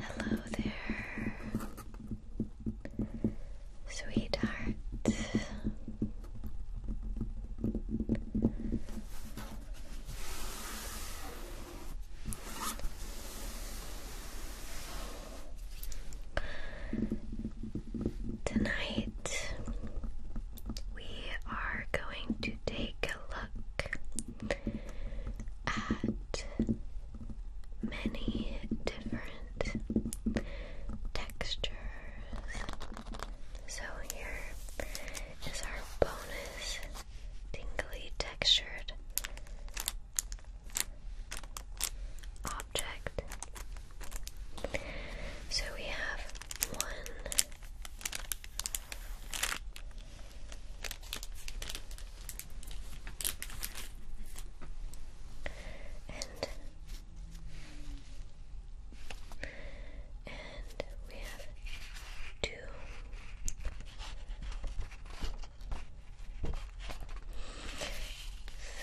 Hello there, sweetheart. Tonight we are going take a look at many different textures. So, here is our bonus tingly textured object. So, we have one. And and we have two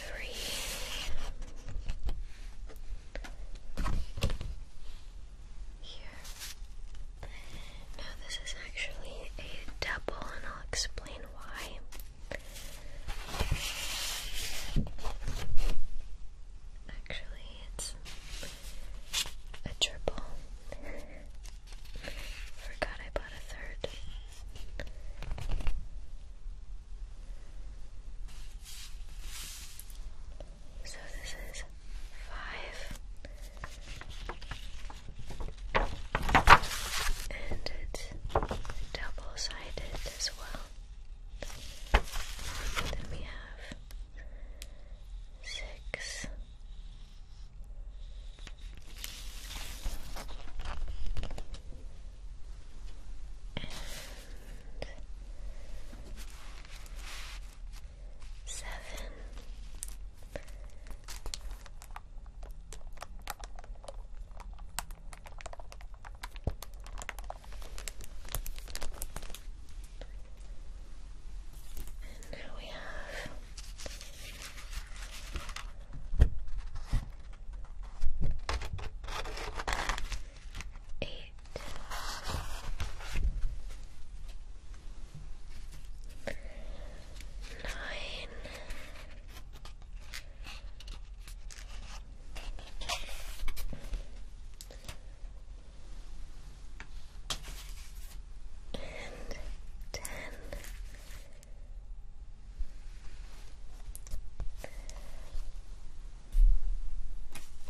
three here. this is actually a double, and I'll explain why. Actually, it's a triple. Forgot I bought a third. So this is five, and it's double sided as well. Then we have six. And seven, and now we have eight. Nine, and ten.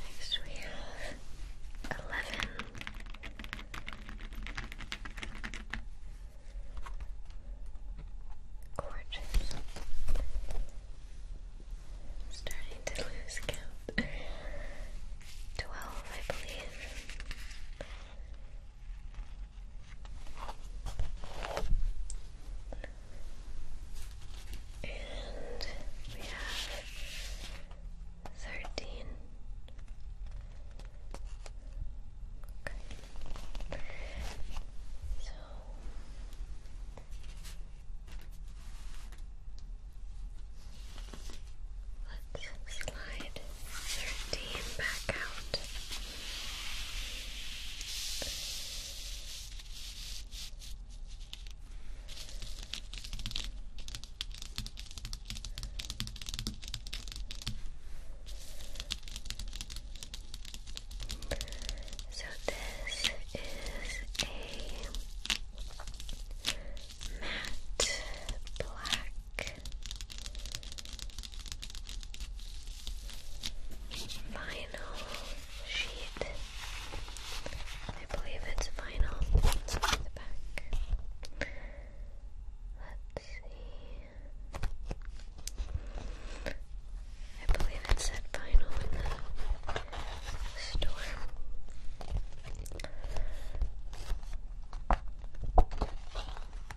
Next we have eleven. Gorgeous. Starting to lose count. Twelve, I believe. And we have thirteen. Okay. So let's slide thirteen back out. So this is a matte black vinyl sheet. I believe it's vinyl. Let's see. I believe it said vinyl in the store.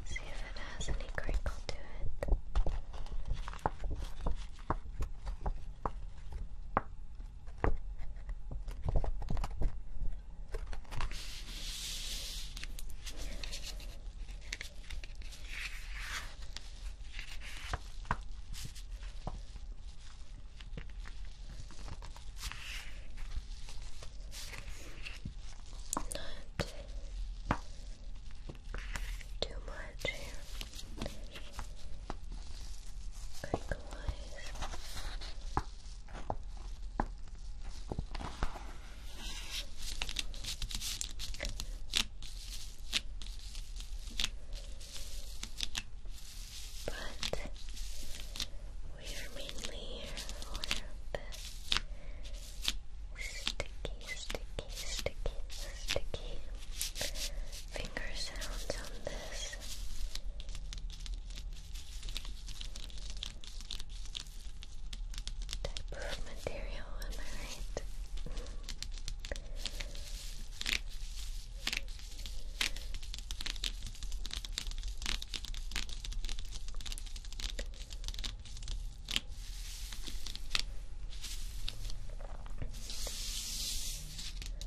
see if it has any crinkle to it. Not too much here. But we are mainly here for the sticky, sticky, sticky, sticky finger sounds on this face. Type of material, am I right?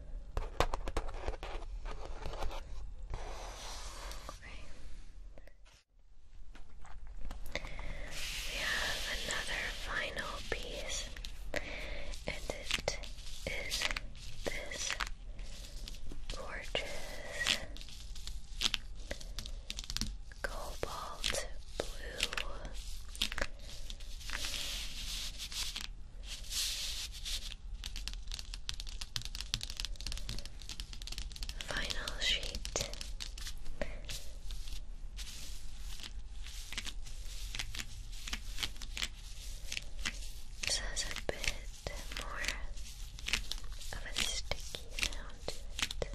Okay. We have another final piece, and it is this gorgeous cobalt blue Final sheet. This has a bit more of a sticky sound to it.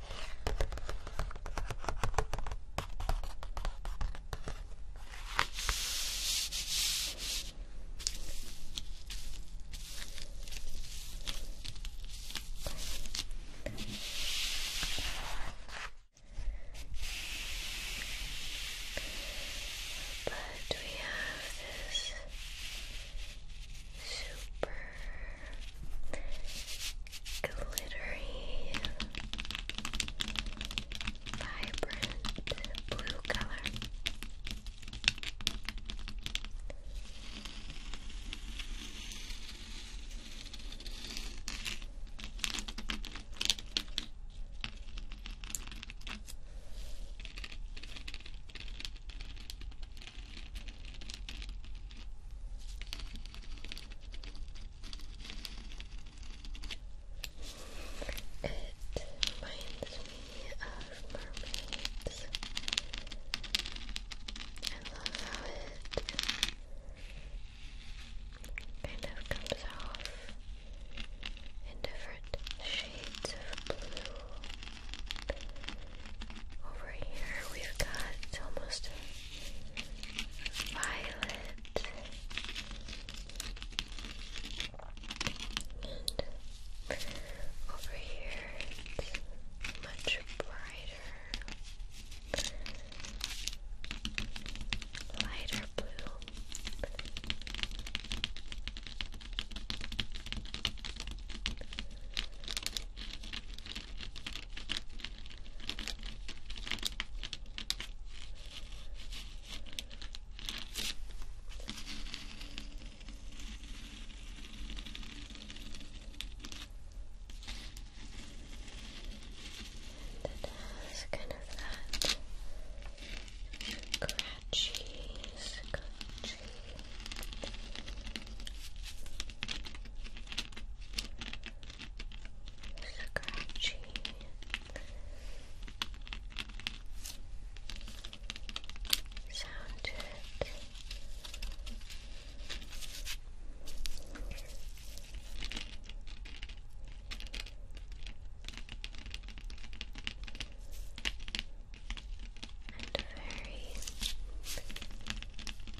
But we have this super glittery, vibrant blue color. It reminds me of mermaids. I love how it kind of comes off in different shades of blue. Over here we've got almost a violet and over here it's much brighter lighter blue that has kind of that scratchy, scratchy scratchy. Sounded and very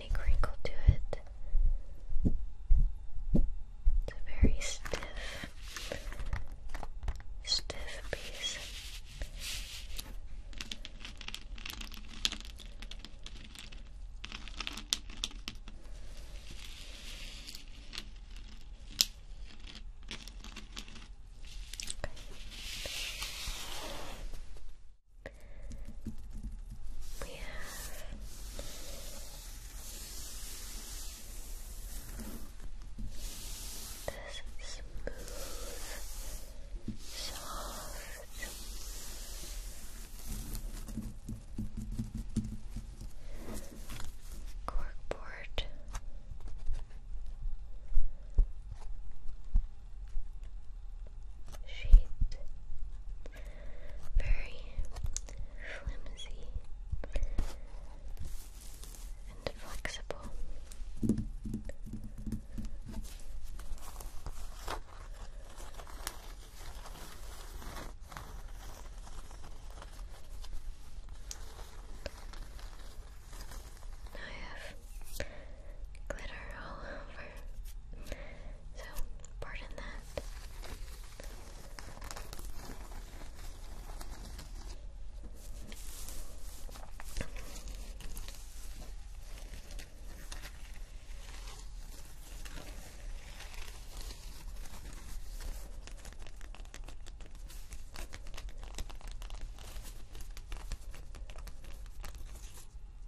any crinkle to it. It's a very stiff, stiff piece. We have this smooth, soft corkboard shade. Very flimsy and flexible. I have glitter all over so, pardon that.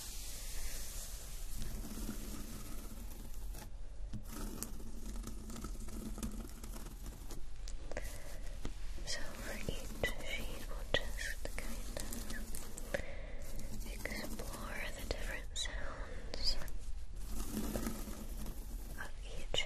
So for each sheet, we'll just kind of explore the different sounds of each.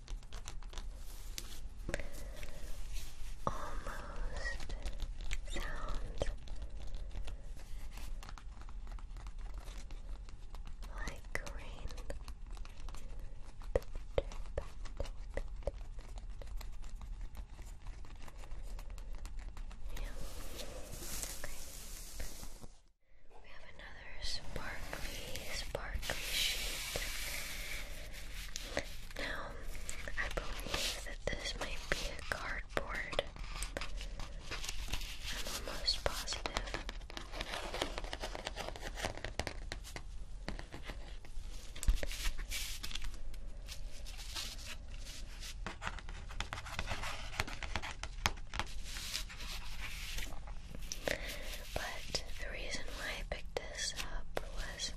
almost sounds like rain. Okay. We have another sparkly, sparkly sheet. Now, I believe that this might be a cardboard. I'm almost positive. But the reason why I picked this up was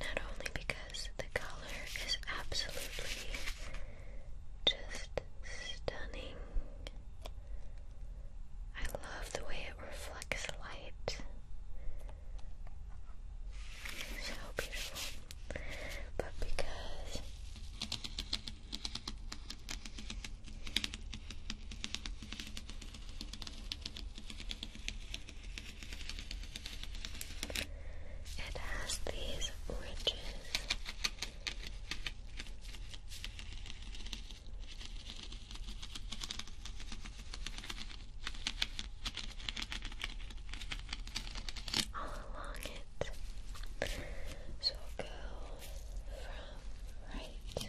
not only because the color is absolutely just stunning, I love the way it reflects light. So beautiful. But because it has these ridges. All along it. So go from right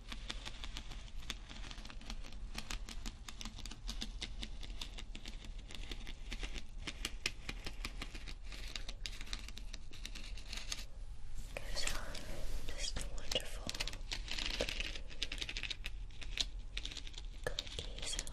Gives her a wonderful cookie sound.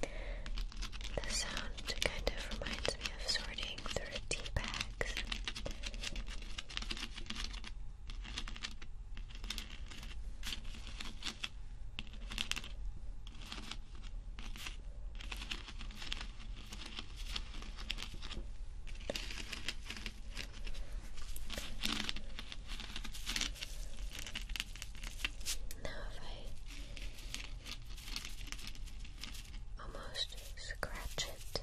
The sound kind of reminds me of sorting through tea bags. Now, if I almost scratch it,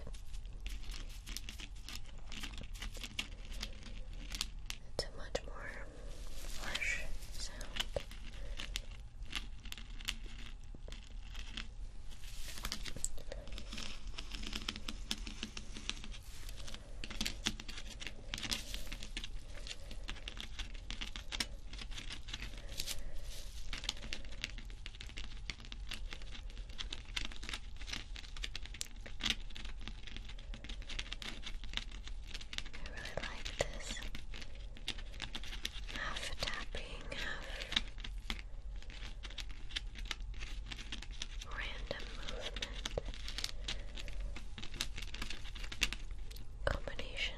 it's a much more harsh sound. I really like this half tapping, half random movement combination.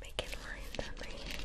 Making lines on my hand.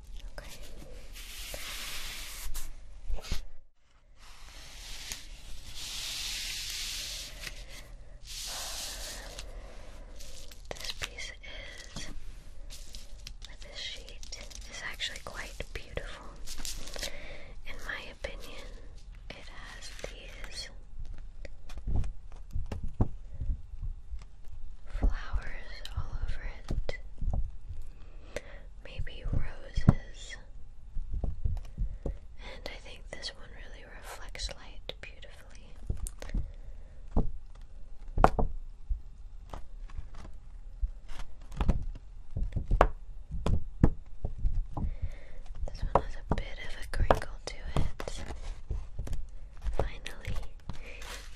This piece is this sheet is actually quite beautiful. In my opinion, it has these flowers all over it maybe roses. And I think this one really reflects light beautifully. This one has a bit of a crinkle to it. Finally,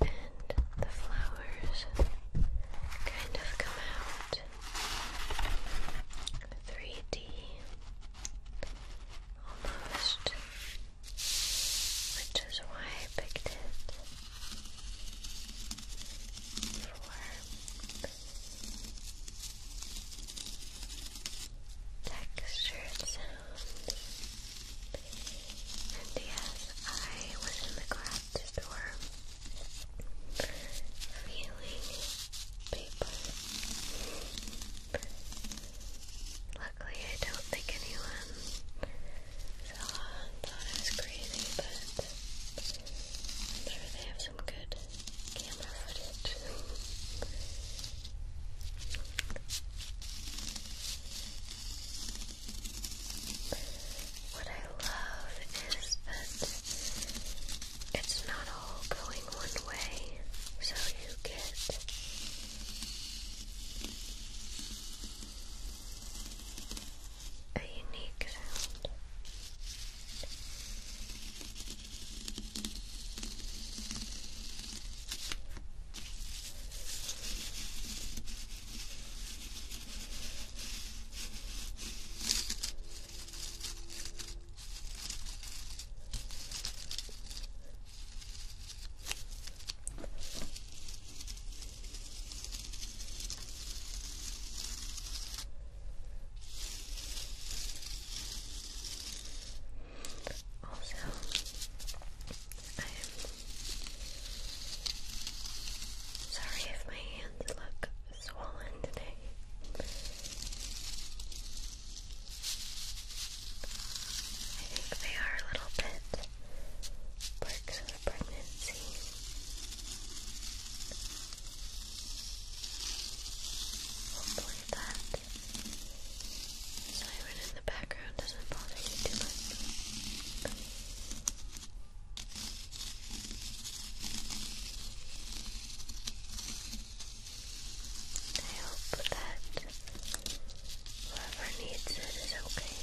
and the flowers kind of come out 3D almost, which is why I picked it for textured and yes, I was in the craft store feeling paper. Luckily, I don't think anyone saw thought I was crazy, but I'm sure they have some good camera footage. What I love is that it's not all going one way, so you get a unique sound. Also, I am Sorry if my hands look swollen today. I think they are a little bit perks of pregnancy. Hopefully that siren in the background doesn't bother you too much. I hope that whoever needs it is okay.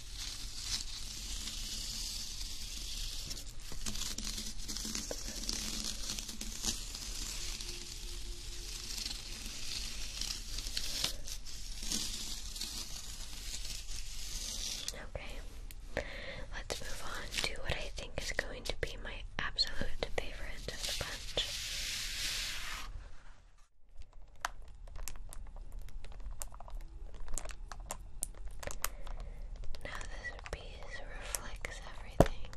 Okay, let's move on to what I think is going to be my absolute favorite of the bunch. Now this piece reflects everything.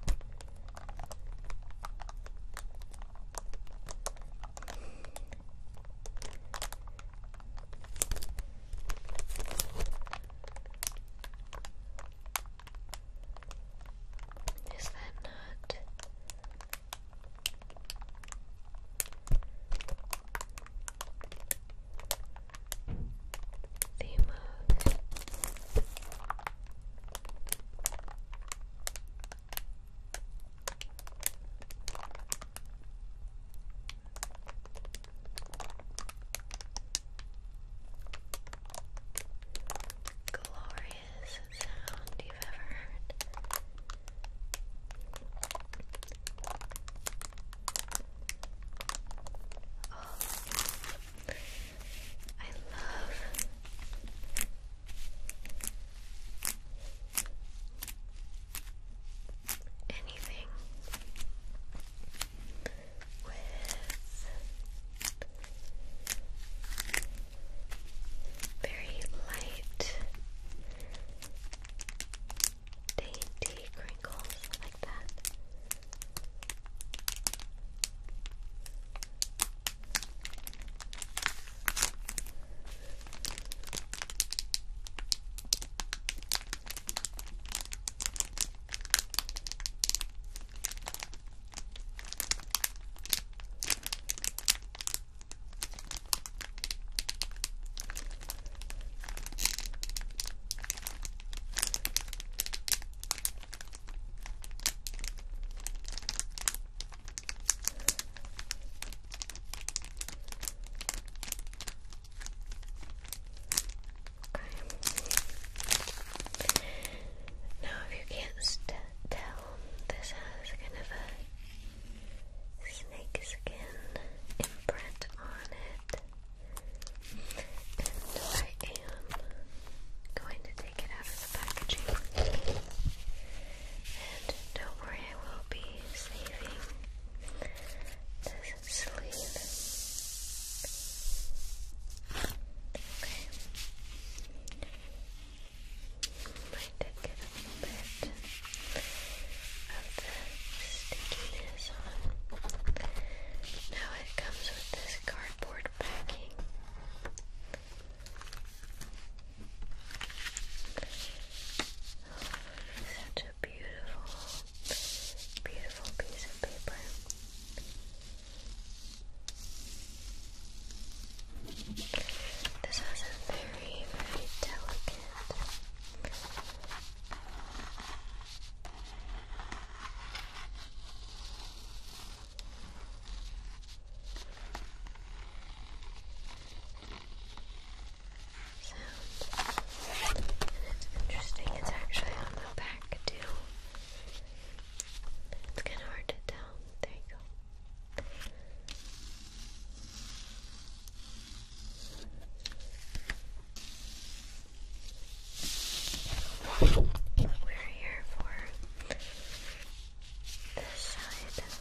Is that not the most glorious sound you've ever heard. Oh, I love anything with very light dainty crinkles like that. Now, if you can't tell, this has kind of a snake imprint on it. I am going to take it out of the packaging. And don't worry, I will be saving this sleeve. Okay. Might take it a little bit of the stickiness on. Now it comes with this cardboard backing. such a beautiful, beautiful piece of paper. This was very, very delicate sound. And it's interesting, it's actually on the back too. It's kind of hard to tell. There you go. We're here for this side. Okay.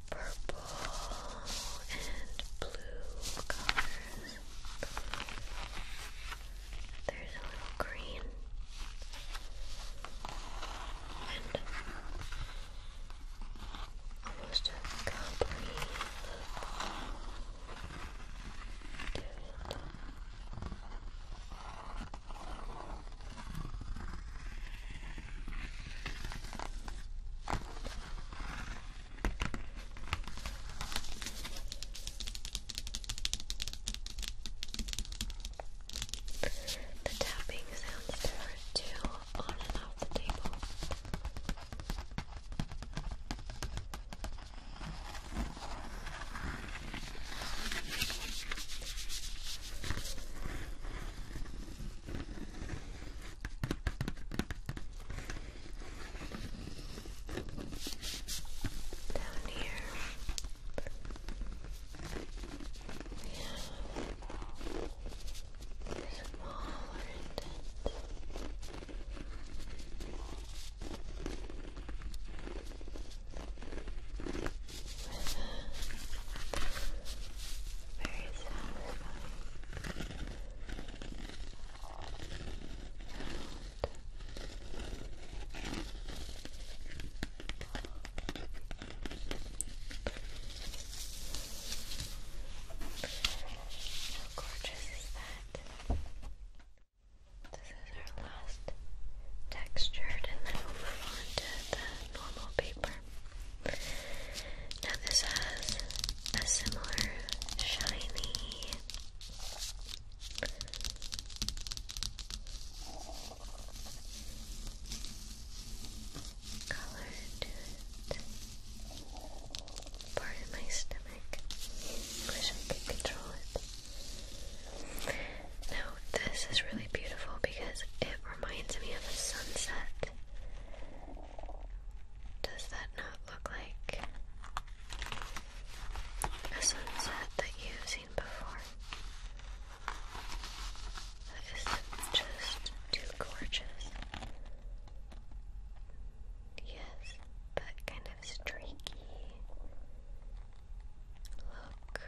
purple and blue colors. There's a little green. And almost a complete look the tapping sounds there are on and off the table. Down here. We have a smaller indent. very satisfying how gorgeous that? This is our last textured, and then we move on to the normal paper. Now, this has a similar shiny color Part of my stomach. Wish I could control it. Now, this is really beautiful because it reminds me of a sunset. Does that not look like a sunset that you've seen before? That is just too gorgeous. Yes, that kind of streaky look.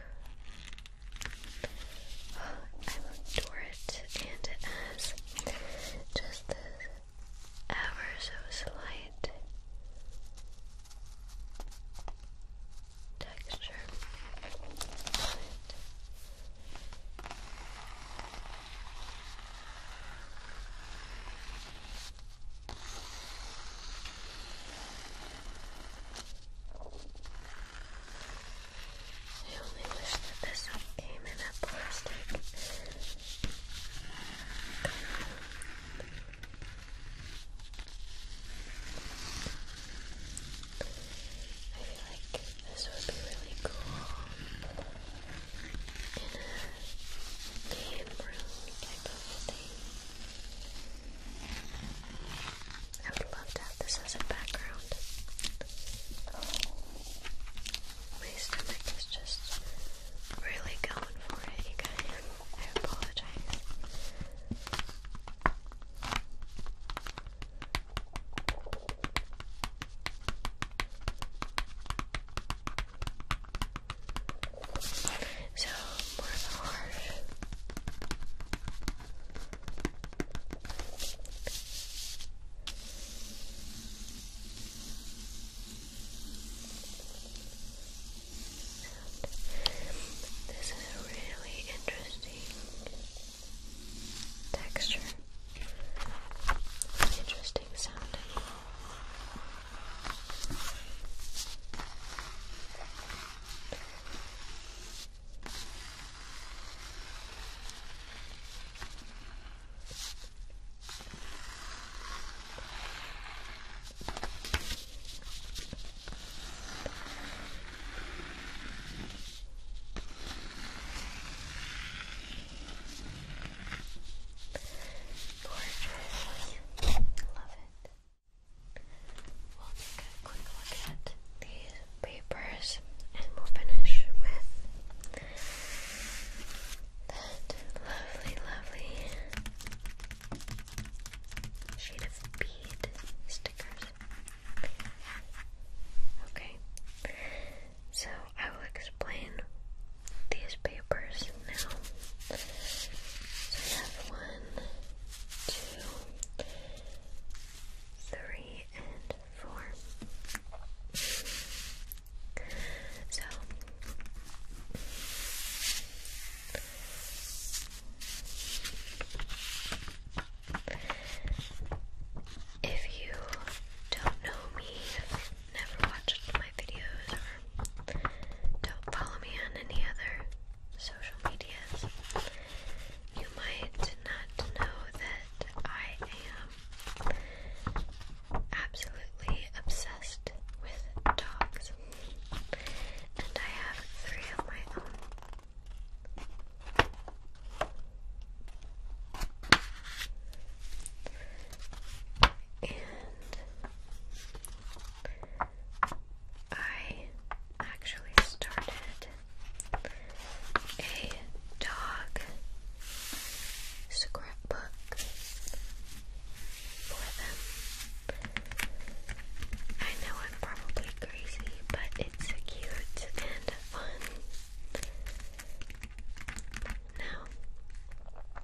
I adore it, and it has just this ever so slight texture I only wish that this had came in a plastic I feel like this would be really cool in a game room type of thing. I would love to this as a background. My stomach is just really going for it, you guys. I apologize. So, more of a harsh this is a really interesting texture, interesting sound. Gorgeous. Love it. We'll take a quick look at the papers and we'll finish with that lovely, lovely sheet of bead stickers. Okay, so I will explain these papers now. So I have one, two, three, and for. So if you don't know me, never watched my videos don't follow me on any other social medias, you might not know that I am absolutely obsessed with dogs, and I have three of my own. And I actually started a dog scrapbook for them. I know I'm probably crazy, but it's cute and fun. Now,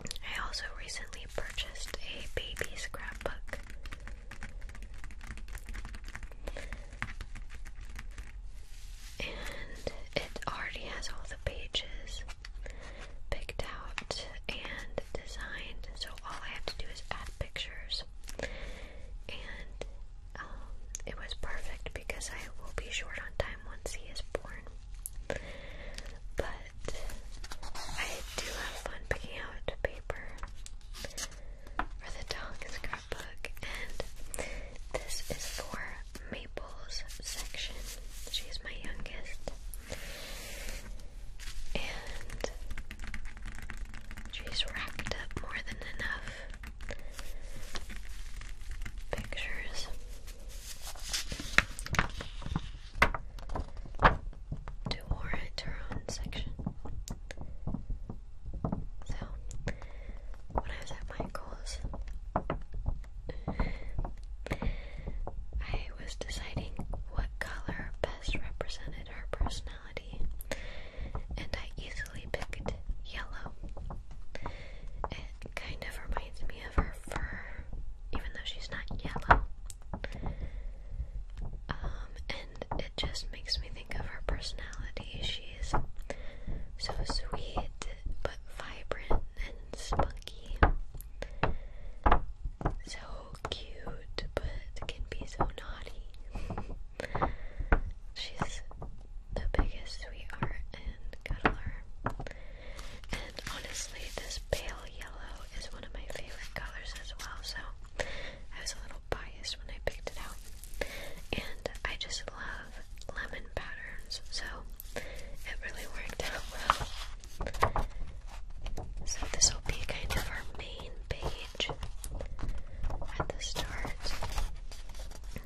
I also recently purchased a baby scrapbook and it already has all the pages picked out and designed. So all I have to do is add pictures, and um, it was perfect because I will be short on time once he is born. But I do have fun picking out paper for the dog scrapbook, and this is for Maple's section. She's my youngest, and she's racked up more than enough pictures. To warrant her own section. So, when I was at Michael's, I was deciding what color best represented her personality, and I easily picked yellow. It kind of reminds me of her fur, even though she's not yellow. Um, and it just makes me think of her personality. So sweet, but vibrant and spunky. So cute, but can be so naughty. She's the biggest sweetheart and cuddler. And honestly, this pale yellow is one of my favorite colors as well, so I was a little biased when I picked it out. And I just love lemon patterns, so it really worked out well. So this will be kind of our main page at the start.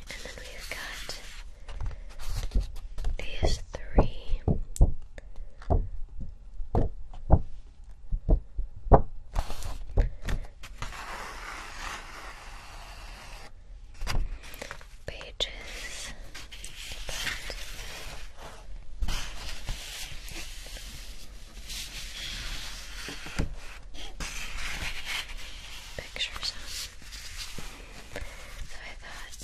And then we've got these three pages, but pictures So I thought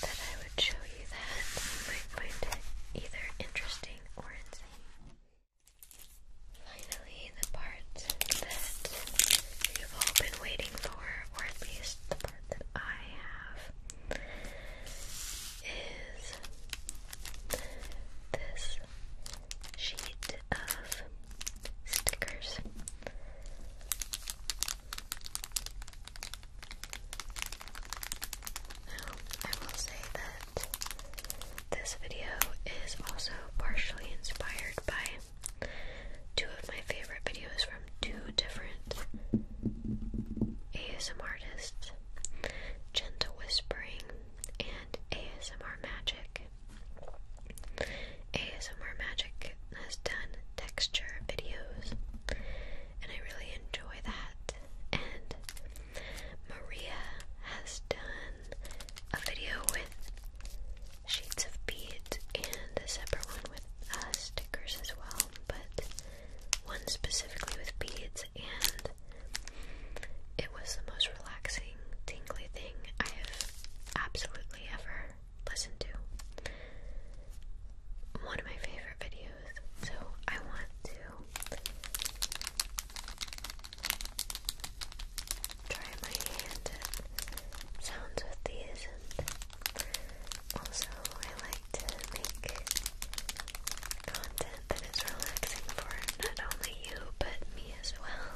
that I would show you that. You might find it either interesting or insane. Finally, the part that you've all been waiting for, or at least the part that I have, is this sheet of stickers. Now, I will say that this video is also partially inspired by two of my favorite videos from two different ASMR artists Gentle Whispering and ASMR Magic. ASMR Magic has done texture videos, and I really enjoy that. And Maria has done a video with sheets of beads and a separate one with uh, stickers as well, but one specifically with beads, and it was the most relaxing, tingly thing I have absolutely ever listened to. One of my favorite videos, so I want to try my hand at sounds with these and also I like to make content that is relaxing for not only you but me as well.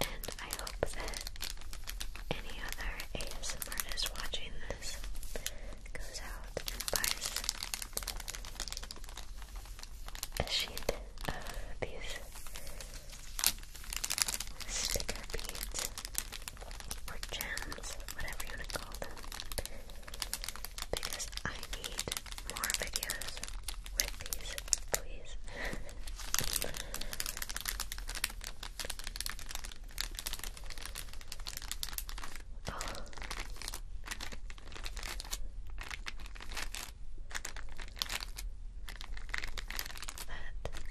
And I hope that any other ASM artist watching this goes out and buys a sheet of these sticker beads or gems, whatever you want to call them, because I need more videos with these, please. Oh. That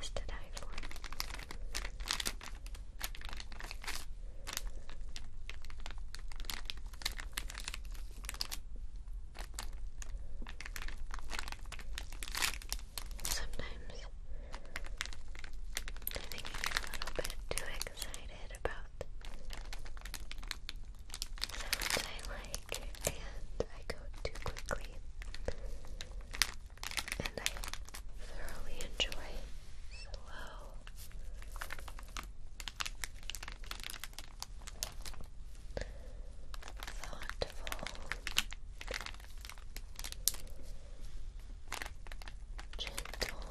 to die for. Sometimes I think I get a little bit too excited about sounds I like and I go too quickly and I thoroughly enjoy slow thoughtful gentle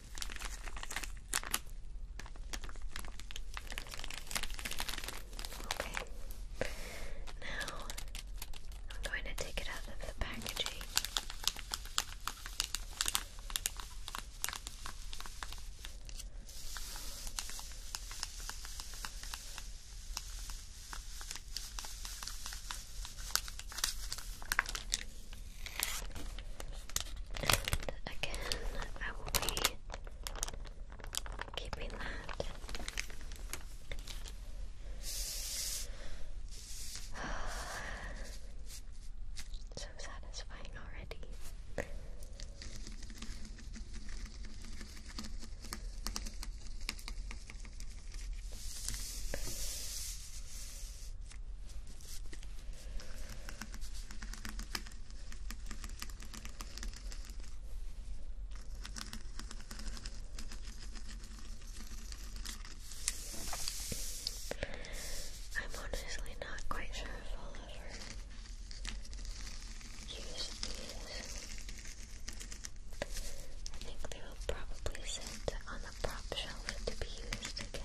Okay. Now I'm going to take it out of the packaging. And again, I will be keeping that. so satisfying already. I'm honestly not quite sure if I'll ever use these. I think they will probably sit on a prop shelf to be used again.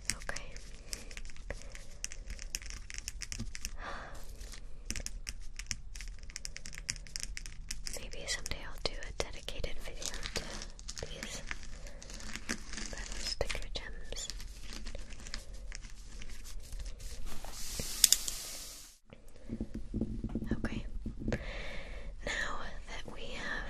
Okay. Maybe someday I'll do a dedicated video to these sticker gems. Okay. Now that we have